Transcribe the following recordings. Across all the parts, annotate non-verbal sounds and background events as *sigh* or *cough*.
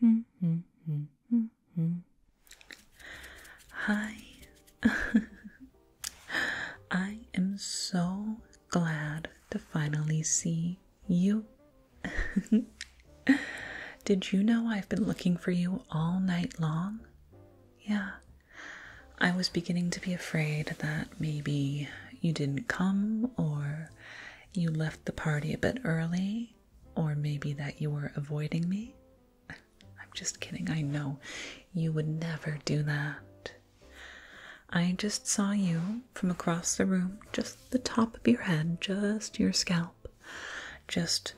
Hmm, hmm, hmm, Hi. *laughs* I am so glad to finally see you. *laughs* Did you know I've been looking for you all night long? Yeah. I was beginning to be afraid that maybe you didn't come or you left the party a bit early or maybe that you were avoiding me. *laughs* I'm just kidding, I know you would never do that. I just saw you from across the room, just the top of your head, just your scalp, just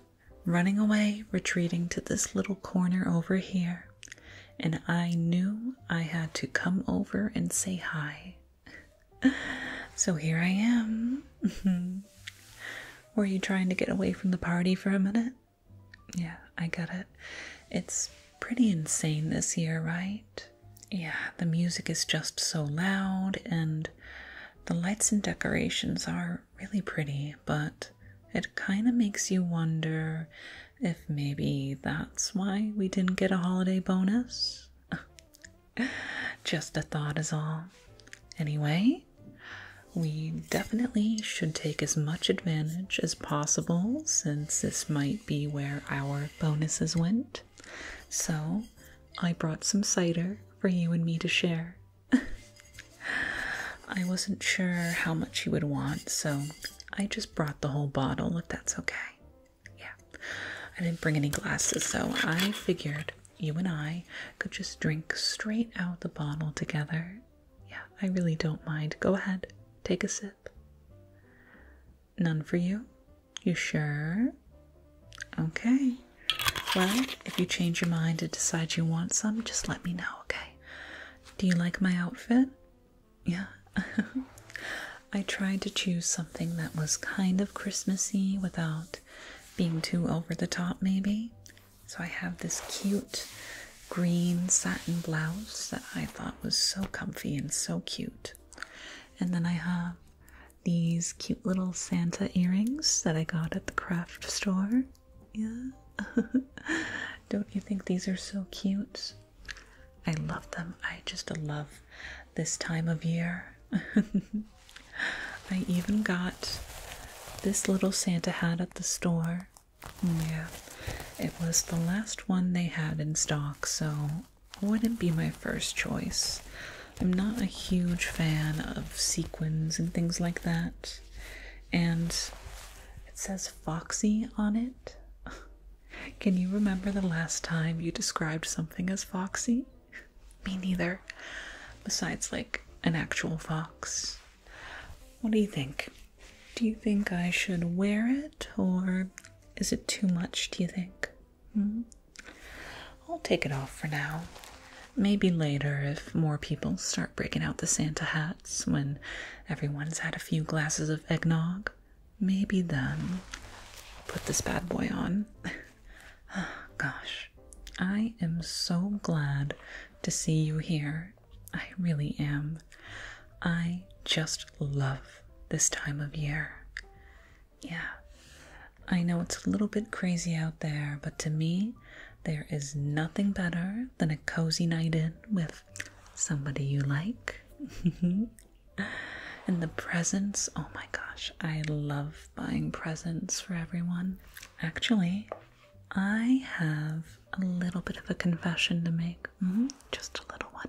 running away, retreating to this little corner over here. And I knew I had to come over and say hi. *laughs* so here I am. *laughs* Were you trying to get away from the party for a minute? Yeah, I get it. It's pretty insane this year, right? Yeah, the music is just so loud, and the lights and decorations are really pretty, but it kind of makes you wonder if maybe that's why we didn't get a holiday bonus. *laughs* Just a thought is all. Anyway, we definitely should take as much advantage as possible since this might be where our bonuses went. So, I brought some cider for you and me to share. *laughs* I wasn't sure how much you would want, so I just brought the whole bottle if that's okay yeah, I didn't bring any glasses, so I figured you and I could just drink straight out the bottle together. Yeah, I really don't mind. Go ahead, take a sip. None for you? You sure? Okay. Well, if you change your mind and decide you want some, just let me know, okay? Do you like my outfit? Yeah. *laughs* I tried to choose something that was kind of Christmassy without being too over the top, maybe. So I have this cute green satin blouse that I thought was so comfy and so cute. And then I have these cute little Santa earrings that I got at the craft store. Yeah. *laughs* Don't you think these are so cute? I love them. I just love this time of year. *laughs* I even got this little Santa hat at the store. Yeah, it was the last one they had in stock, so wouldn't be my first choice. I'm not a huge fan of sequins and things like that. And it says Foxy on it. *laughs* Can you remember the last time you described something as foxy? *laughs* Me neither. Besides, like, an actual fox. What do you think? Do you think I should wear it, or is it too much, do you think? Hmm? I'll take it off for now. Maybe later, if more people start breaking out the Santa hats when everyone's had a few glasses of eggnog maybe then put this bad boy on. *laughs* Ah, gosh, I am so glad to see you here. I really am. I just love this time of year. Yeah, I know it's a little bit crazy out there, but to me, there is nothing better than a cozy night in with somebody you like. *laughs* and the presents. Oh my gosh, I love buying presents for everyone. Actually, I have a little bit of a confession to make. Mm-hmm, just a little one.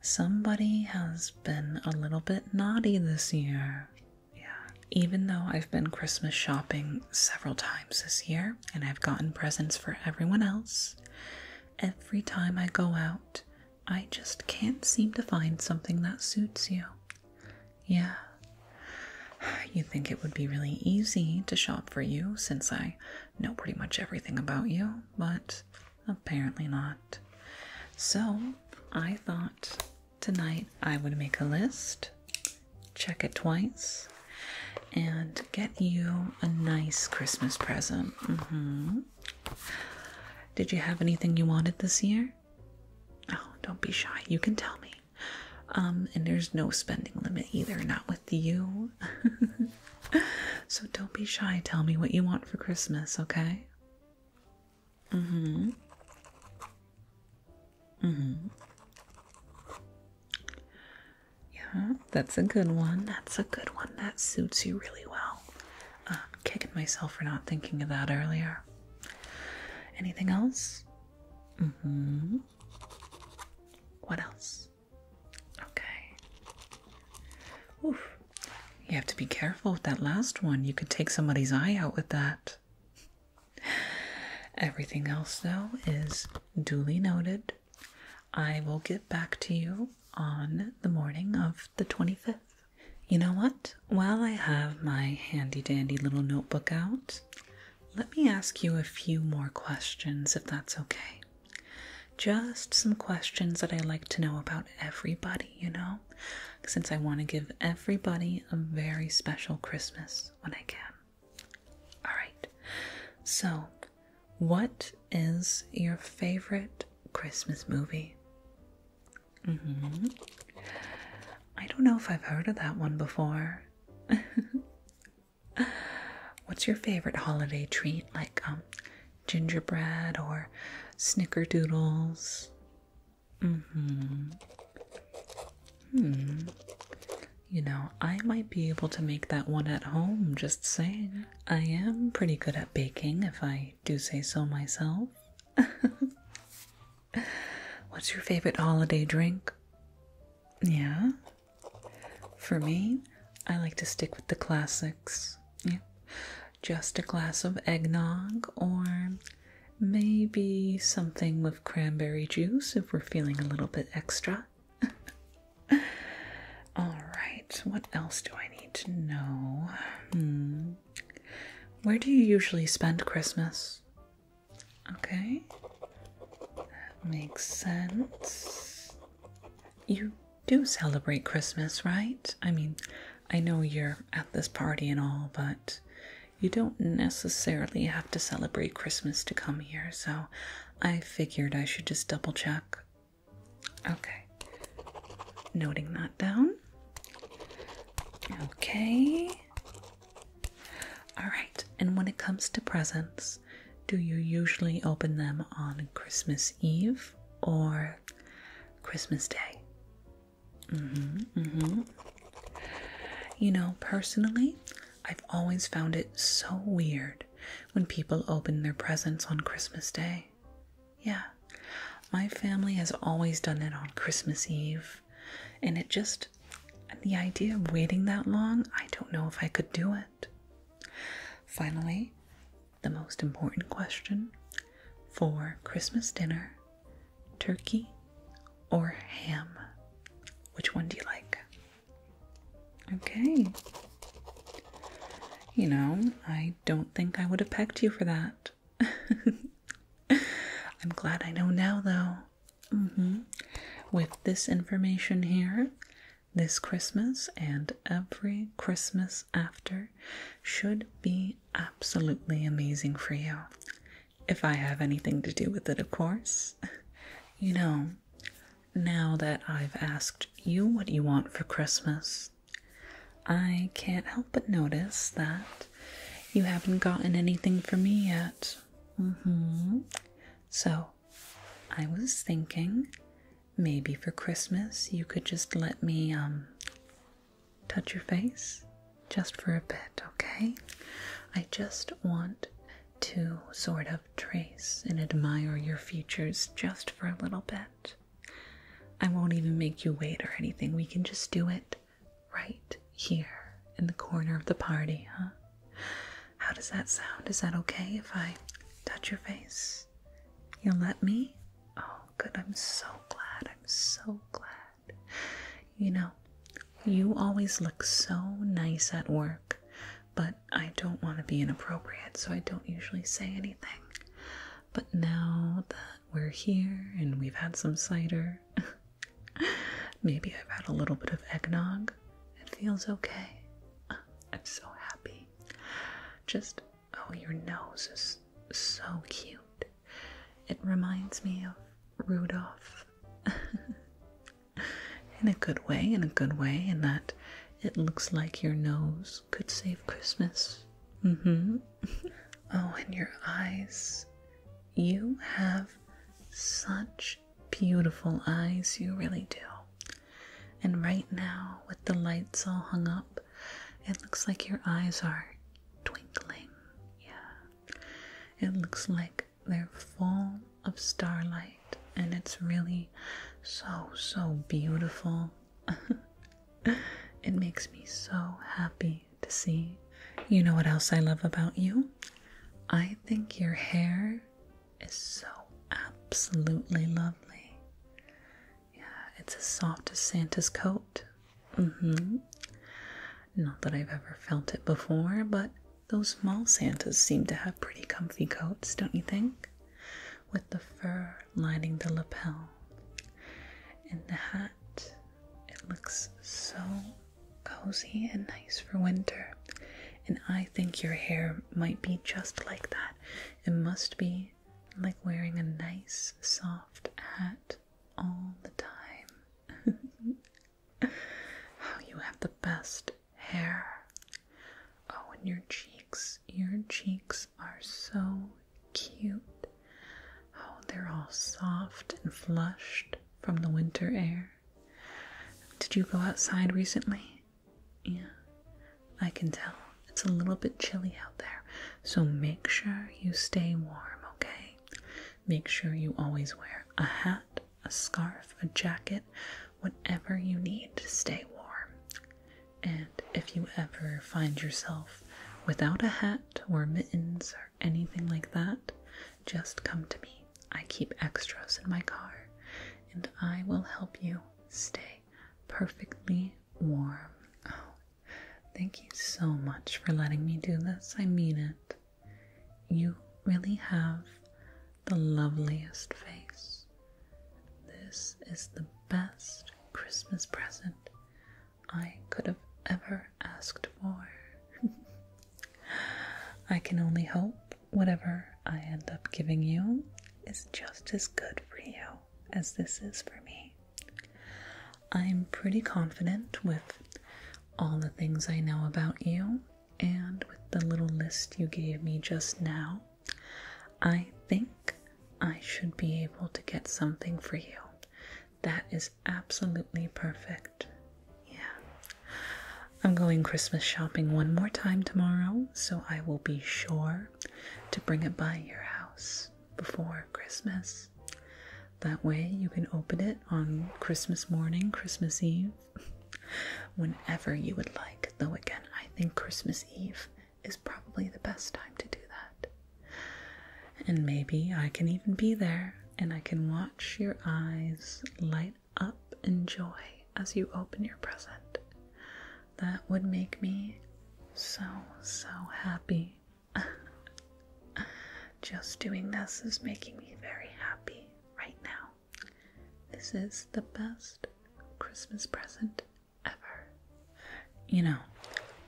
Somebody has been a little bit naughty this year. Yeah, even though I've been Christmas shopping several times this year and I've gotten presents for everyone else, Every time I go out, I just can't seem to find something that suits you. Yeah. You think it would be really easy to shop for you since I know pretty much everything about you, but apparently not. So, I thought tonight I would make a list, check it twice, and get you a nice Christmas present. Mm-hmm. Did you have anything you wanted this year? Oh, don't be shy. You can tell me. Um, and there's no spending limit either, not with you. *laughs* so don't be shy. Tell me what you want for Christmas, okay? Mm hmm. Mm hmm. Yeah, that's a good one. That's a good one. That suits you really well. Uh, kicking myself for not thinking of that earlier. Anything else? Mm-hmm. What else? Okay. Oof. You have to be careful with that last one. You could take somebody's eye out with that. *laughs* Everything else, though, is duly noted. I will get back to you on the morning of the 25th. You know what? While I have my handy dandy little notebook out, let me ask you a few more questions if that's okay. Just some questions that I like to know about everybody, you know, since I want to give everybody a very special Christmas when I can. All right. So, what is your favorite Christmas movie? Mm-hmm. I don't know if I've heard of that one before. *laughs* What's your favorite holiday treat, like um, gingerbread or snickerdoodles? Mm-hmm. Hmm. You know, I might be able to make that one at home, just saying. I am pretty good at baking, if I do say so myself. *laughs* What's your favorite holiday drink? Yeah. For me, I like to stick with the classics. Just a glass of eggnog or maybe something with cranberry juice if we're feeling a little bit extra. *laughs* All right, what else do I need to know? Hmm. Where do you usually spend Christmas? Okay, that makes sense. You do celebrate Christmas, right? I mean, I know you're at this party and all, but you don't necessarily have to celebrate Christmas to come here, so I figured I should just double check. Okay. Noting that down. Okay. All right. And when it comes to presents, do you usually open them on Christmas Eve or Christmas Day? Mm-hmm. Mm-hmm. You know, personally, I've always found it so weird when people open their presents on Christmas Day. Yeah, my family has always done it on Christmas Eve, and it just, the idea of waiting that long, I don't know if I could do it. Finally, the most important question for Christmas dinner turkey or ham? Which one do you like? Okay. You know, I don't think I would have pecked you for that. *laughs* I'm glad I know now, though. Mm-hmm. With this information here, this Christmas and every Christmas after should be absolutely amazing for you. If I have anything to do with it, of course. *laughs* You know, now that I've asked you what you want for Christmas, I can't help but notice that you haven't gotten anything for me yet. Mm hmm. So, I was thinking maybe for Christmas you could just let me, um, touch your face just for a bit, okay? I just want to sort of trace and admire your features just for a little bit. I won't even make you wait or anything. We can just do it right here in the corner of the party, huh? How does that sound? Is that okay if I touch your face? You'll let me? Oh, good. I'm so glad. I'm so glad. You know, you always look so nice at work, but I don't want to be inappropriate, so I don't usually say anything. But now that we're here and we've had some cider, *laughs* maybe I've had a little bit of eggnog, it feels okay. I'm so happy. Just, oh, your nose is so cute. It reminds me of Rudolph. *laughs* *laughs* in a good way, in a good way, in that it looks like your nose could save Christmas. Mm hmm. *laughs* oh, and your eyes. You have such beautiful eyes, you really do. And right now, with the lights all hung up, it looks like your eyes are twinkling. Yeah. It looks like they're full of starlight, and it's really so, so beautiful. *laughs* it makes me so happy to see. You know what else I love about you? I think your hair is so absolutely lovely. Yeah, it's as soft as Santa's coat. Mm hmm. Not that I've ever felt it before, but those mall Santas seem to have pretty comfy coats, don't you think? With the fur lining the lapel. And the hat, it looks so cozy and nice for winter. And I think your hair might be just like that. It must be like wearing a nice soft hat all the time. *laughs* How *laughs* oh, you have the best hair. Oh, and your cheeks. Your cheeks are so cute. Oh, they're all soft and flushed from the winter air. Did you go outside recently? Yeah, I can tell. It's a little bit chilly out there, so make sure you stay warm, okay? Make sure you always wear a hat a scarf, a jacket, whatever you need to stay warm. And if you ever find yourself without a hat or mittens or anything like that, just come to me. I keep extras in my car and I will help you stay perfectly warm. Oh, thank you so much for letting me do this. I mean it. You really have the loveliest face. This is the best Christmas present I could have ever asked for. *laughs* I can only hope whatever I end up giving you is just as good for you as this is for me. I'm pretty confident with all the things I know about you and with the little list you gave me just now, I think I should be able to get something for you. That is absolutely perfect. Yeah. I'm going Christmas shopping one more time tomorrow, so I will be sure to bring it by your house before Christmas. That way, you can open it on Christmas morning, Christmas Eve, *laughs* whenever you would like. Though, again, I think Christmas Eve is probably the best time to do that. And maybe I can even be there and I can watch your eyes light up in joy as you open your present. That would make me so, so happy. *laughs* Just doing this is making me very happy right now. This is the best Christmas present ever. You know,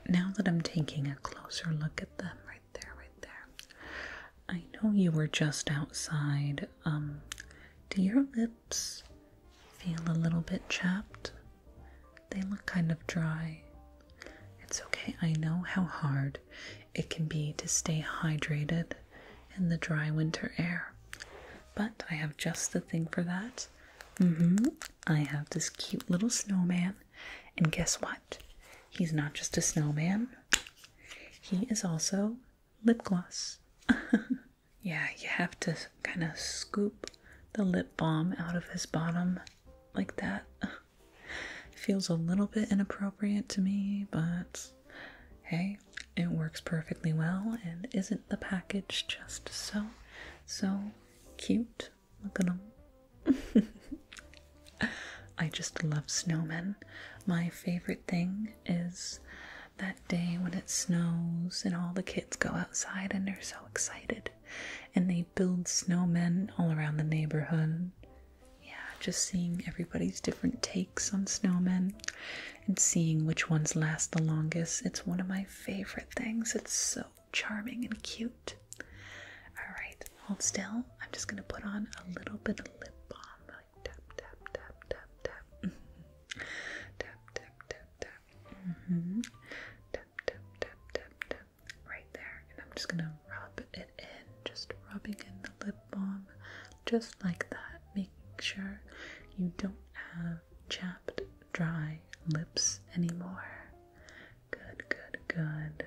now that I'm taking a closer look at them right there, right there. I know you were just outside. Um, do your lips feel a little bit chapped? They look kind of dry. It's okay, I know how hard it can be to stay hydrated in the dry winter air, but I have just the thing for that. Mm hmm. I have this cute little snowman, and guess what? He's not just a snowman, he is also lip gloss. *laughs* yeah, you have to kind of scoop the lip balm out of his bottom like that. *laughs* Feels a little bit inappropriate to me, but hey, it works perfectly well. And isn't the package just so, so cute? Look at them. *laughs* I just love snowmen. My favorite thing is that day when it snows and all the kids go outside and they're so excited and they build snowmen all around the neighborhood yeah, just seeing everybody's different takes on snowmen and seeing which ones last the longest. It's one of my favorite things. It's so charming and cute. All right, hold still. I'm just gonna put on a little bit of lip balm. tap, tap, tap, tap, tap. Tap, tap, tap, tap. Mm -hmm. Tap, tap, tap, tap, tap. Mm-hmm right there. And I'm just gonna rub it in, just rubbing in the lip balm, just like that, making sure you don't have chapped, dry lips anymore. Good, good, good.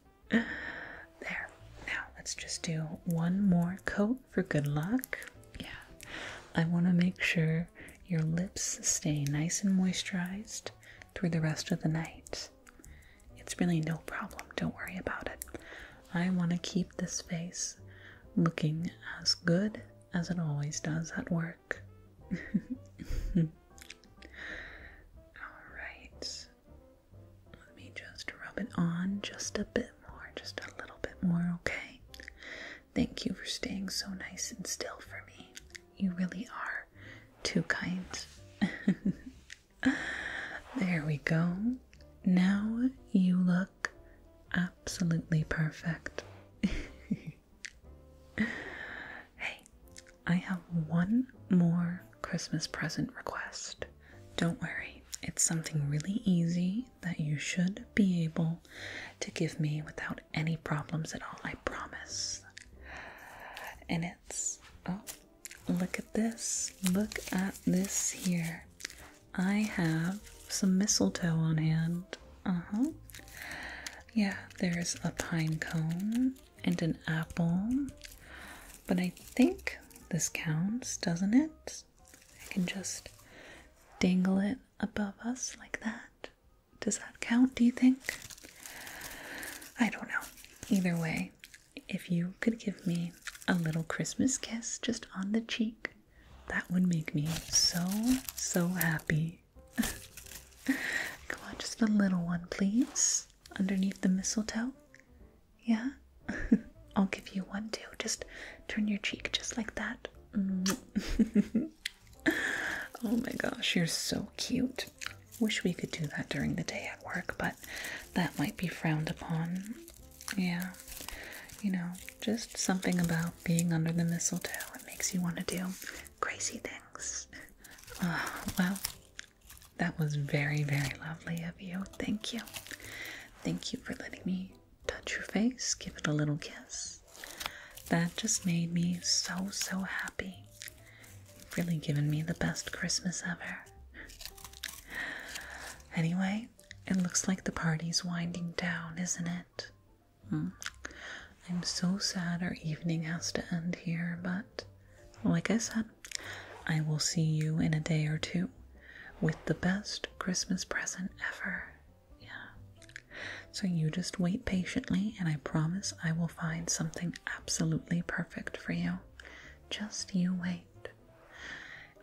*laughs* there. Now let's just do one more coat for good luck. Yeah. I want to make sure your lips stay nice and moisturized through the rest of the night. It's really no problem. Don't worry about it. I want to keep this face looking as good as it always does at work. *laughs* All right. Let me just rub it on just a bit more, just a little bit more, okay? Thank you for staying so nice and still for me. You really are too kind. *laughs* there we go. Now you look absolutely perfect. *laughs* hey, I have one more Christmas present request. Don't worry, it's something really easy that you should be able to give me without any problems at all, I promise. And it's oh, look at this. Look at this here. I have some mistletoe on hand. Uh-huh. Yeah, there's a pine cone and an apple. But I think this counts, doesn't it? I can just dangle it above us like that. Does that count, do you think? I don't know. Either way, if you could give me a little Christmas kiss just on the cheek, that would make me so, so happy. *laughs* Come on, just a little one, please. Underneath the mistletoe. Yeah? *laughs* I'll give you one too. Just turn your cheek just like that. *laughs* *laughs* oh my gosh, you're so cute. Wish we could do that during the day at work, but that might be frowned upon. Yeah, you know, just something about being under the mistletoe. It makes you want to do crazy things. Ah, well, that was very, very lovely of you. Thank you. Thank you for letting me touch your face, give it a little kiss. That just made me so, so happy. You've really given me the best Christmas ever. Anyway, it looks like the party's winding down, isn't it? Hmm. I'm so sad our evening has to end here, but like I said, I will see you in a day or two with the best Christmas present ever. Yeah. So you just wait patiently, and I promise I will find something absolutely perfect for you. Just you wait.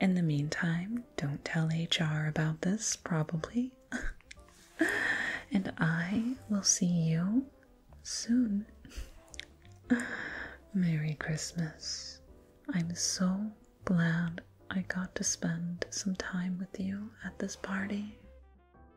In the meantime, don't tell HR about this, probably. *laughs* and I will see you soon. *laughs* Merry Christmas. I'm so glad I got to spend some time with you at this party.